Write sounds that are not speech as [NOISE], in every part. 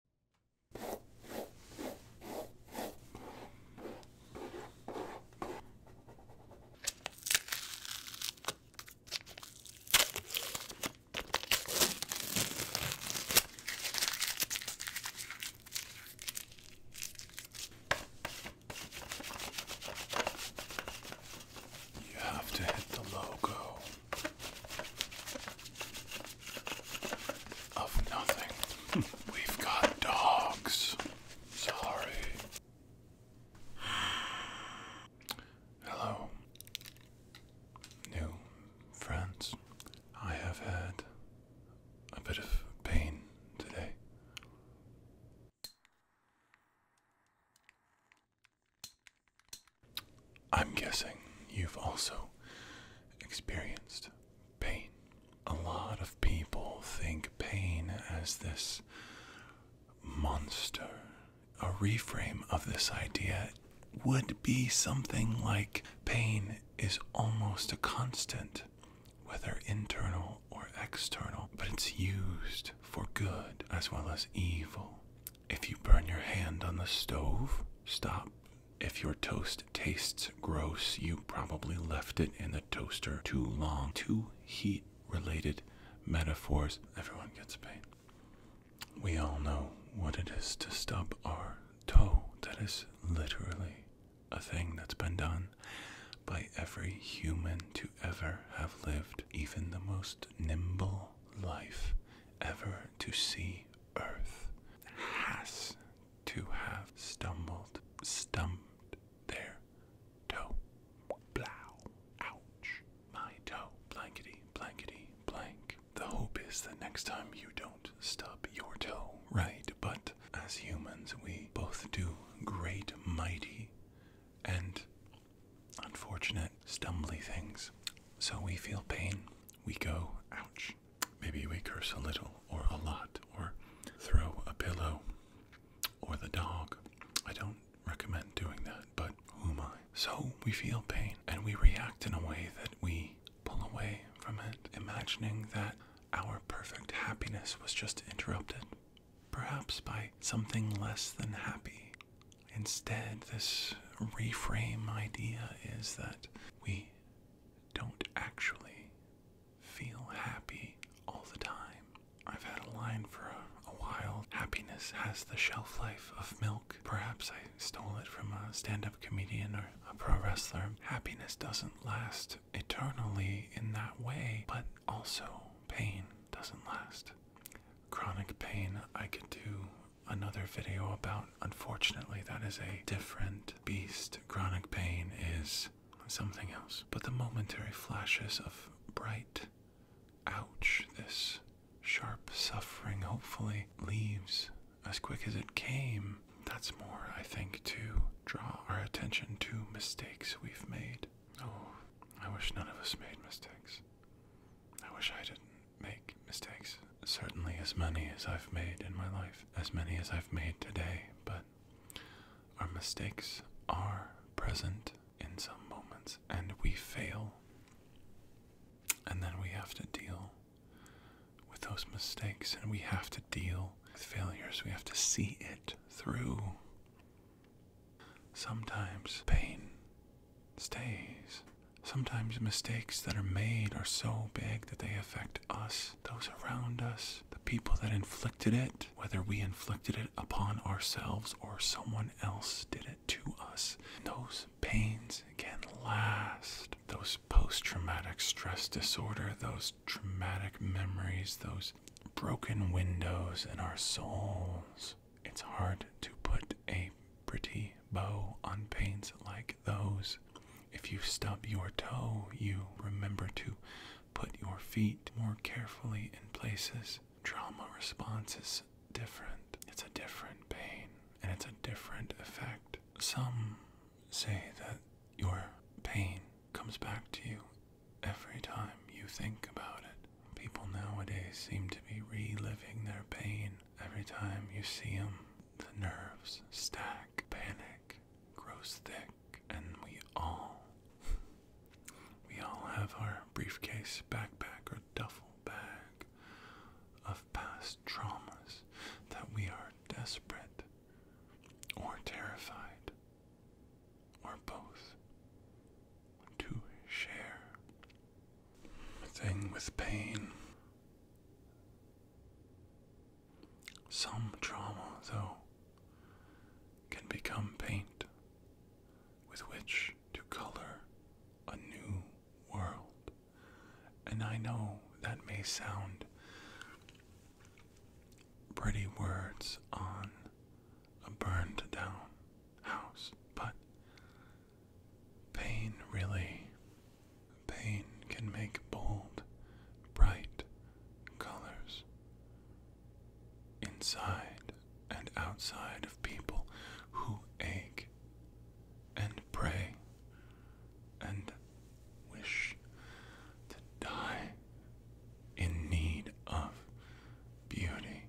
You have to hit the logo. Of nothing. [LAUGHS] We've got dogs. Sorry. Hello. New friends. I have had a bit of pain today. I'm guessing you've also experienced pain. A lot of people think pain as this monster. A reframe of this idea would be something like pain is almost a constant, whether internal or external, but it's used for good as well as evil. If you burn your hand on the stove, stop. If your toast tastes gross, you probably left it in the toaster too long. Too heat related metaphors. Everyone gets pain. We all know what it is to stub our toe. That is literally a thing that's been done by every human to ever have lived. Even the most nimble life ever to see Earth has to have stumbled, stumped there toe. Blow. Ouch. My toe. Blankety, blankety, blank. The hope is that next time you don't stub your toe, right? But as humans, we both do great, mighty, and unfortunate, stumbly things. So we feel pain, we go, ouch. Maybe we curse a little or a lot or throw a pillow or the dog. I don't recommend doing that, but who am I? So we feel pain and we react in a way that we pull away from it, imagining that our perfect happiness was just interrupted perhaps by something less than happy. Instead, this reframe idea is that we don't actually feel happy all the time. I've had a line for a, while happiness has the shelf life of milk. Perhaps I stole it from a stand up comedian or a pro wrestler. Happiness doesn't last eternally in that way, but also pain doesn't last. Chronic pain, I could do another video about. Unfortunately, that is a different beast. Chronic pain is something else. But the momentary flashes of bright, ouch, this sharp suffering hopefully leaves as quick as it came. That's more, I think, to draw our attention to mistakes we've made. Oh, I wish none of us made mistakes. I wish I didn't make mistakes. Certainly as many as I've made in my life, as many as I've made today, but our mistakes are present in some moments and we fail. And then we have to deal with those mistakes and we have to deal with failures. We have to see it through. Sometimes pain stays. Sometimes mistakes that are made are so big that they affect us, those around us, the people that inflicted it, whether we inflicted it upon ourselves or someone else did it to us. Those pains can last. Those post traumatic stress disorder, those traumatic memories, those broken windows in our souls. It's hard to put a pretty bow on pains like those. If you stub your toe, you remember to put your feet more carefully in places. Trauma response is different. It's a different pain and it's a different effect. Some say that your pain comes back to you every time you think about it. People nowadays seem to be reliving their pain every time you see them. The nerves stack, panic grows thick, and we all we all have our briefcase, backpack, or duffel bag of past traumas that we are desperate or terrified, or both, to share. A thing with pain. Some trauma, though, can become paint with which to color a new world and I know that may sound pretty words on a burned down house, but pain really, pain can make bold, bright colors inside and outside of people who ache and pray and wish to die in need of beauty,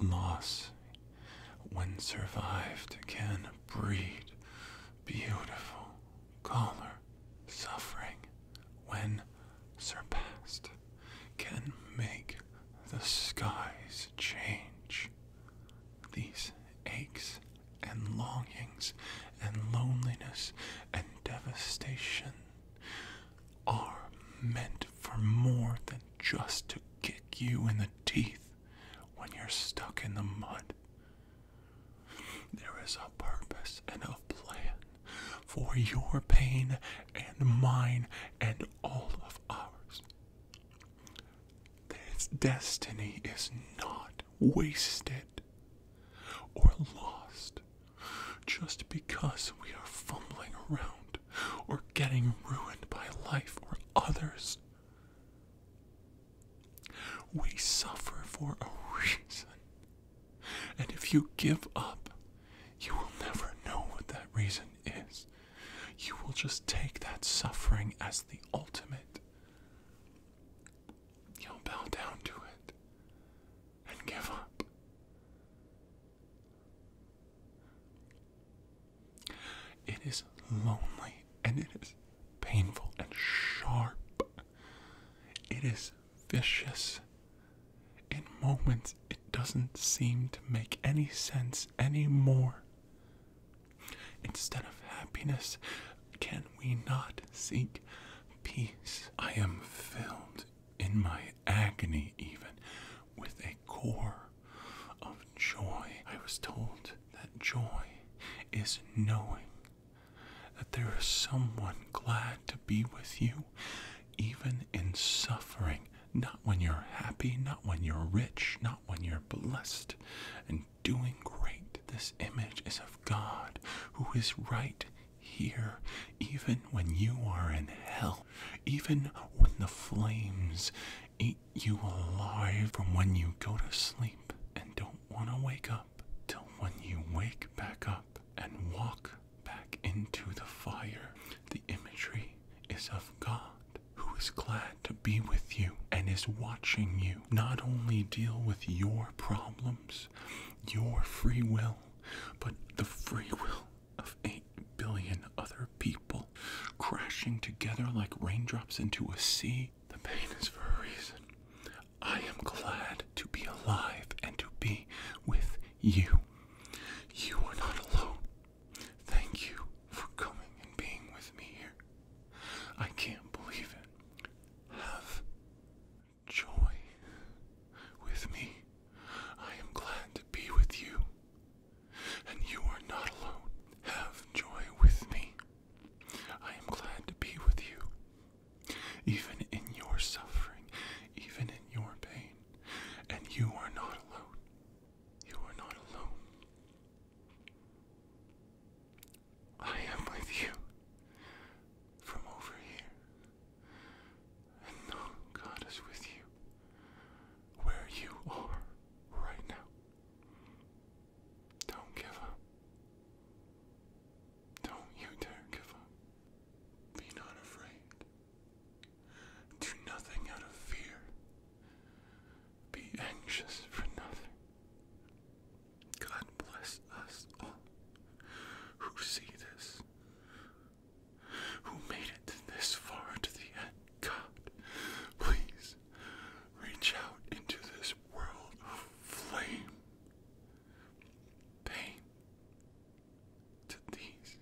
loss, when survived, can breed beautiful color, suffering, when surpassed, can make the skies change. These aches and longings and loneliness and devastation are meant for more than just to kick you in the teeth when you're stuck in the mud. There is a purpose and a plan for your pain and mine and all of ours. That its destiny is not wasted or lost just because we are fumbling around or getting ruined by life or others. We suffer for a reason. And if you give up, you will never know what that reason is you will just take that suffering as the ultimate. You'll bow down to it and give up. It is lonely and it is painful and sharp. It is vicious. In moments, it doesn't seem to make any sense anymore. Instead of happiness, can we not seek peace? I am filled in my agony, even with a core of joy. I was told that joy is knowing that there is someone glad to be with you, even in suffering. Not when you're happy, not when you're rich, not when you're blessed and doing great. This image is of God who is right here, even when you are in hell, even when the flames eat you alive from when you go to sleep and don't want to wake up till when you wake back up and walk back into the fire. The imagery is of God who is glad to be with you and is watching you not only deal with your problems, your free will, but the free will of 8 billion other people crashing together like raindrops into a sea. The pain is for a reason. I am glad to be alive and to be with you. You are not alone. Thank you for coming and being with me here. I can't believe it. Have joy with me. I am glad to be with you. And you are not alone. Have joy with me. I am glad to be with you. Even in your suffering, even in your pain, and you are not alone. You are not alone. I am with you from over here. And God is with you where you are right now. Don't give up. Don't you dare give up. Be not afraid. Do nothing out of fear. Be anxious for nothing. God bless us all who see this, who made it this far to the end. God, please reach out into this world of flame pain to these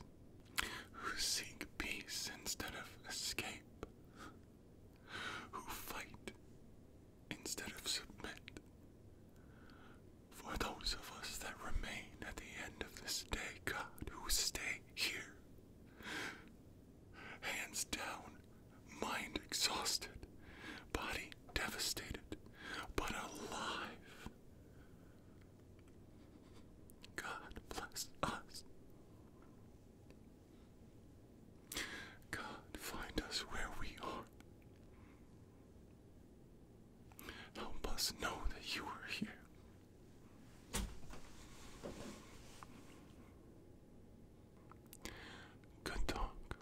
who seek peace instead of escape, who fight instead of submit. For those of us that remain at the end of this day, God, who stay here, hands down, mind exhausted, body devastated, but alive God bless us. God, find us where we are. Help us know that you are here. Good talk.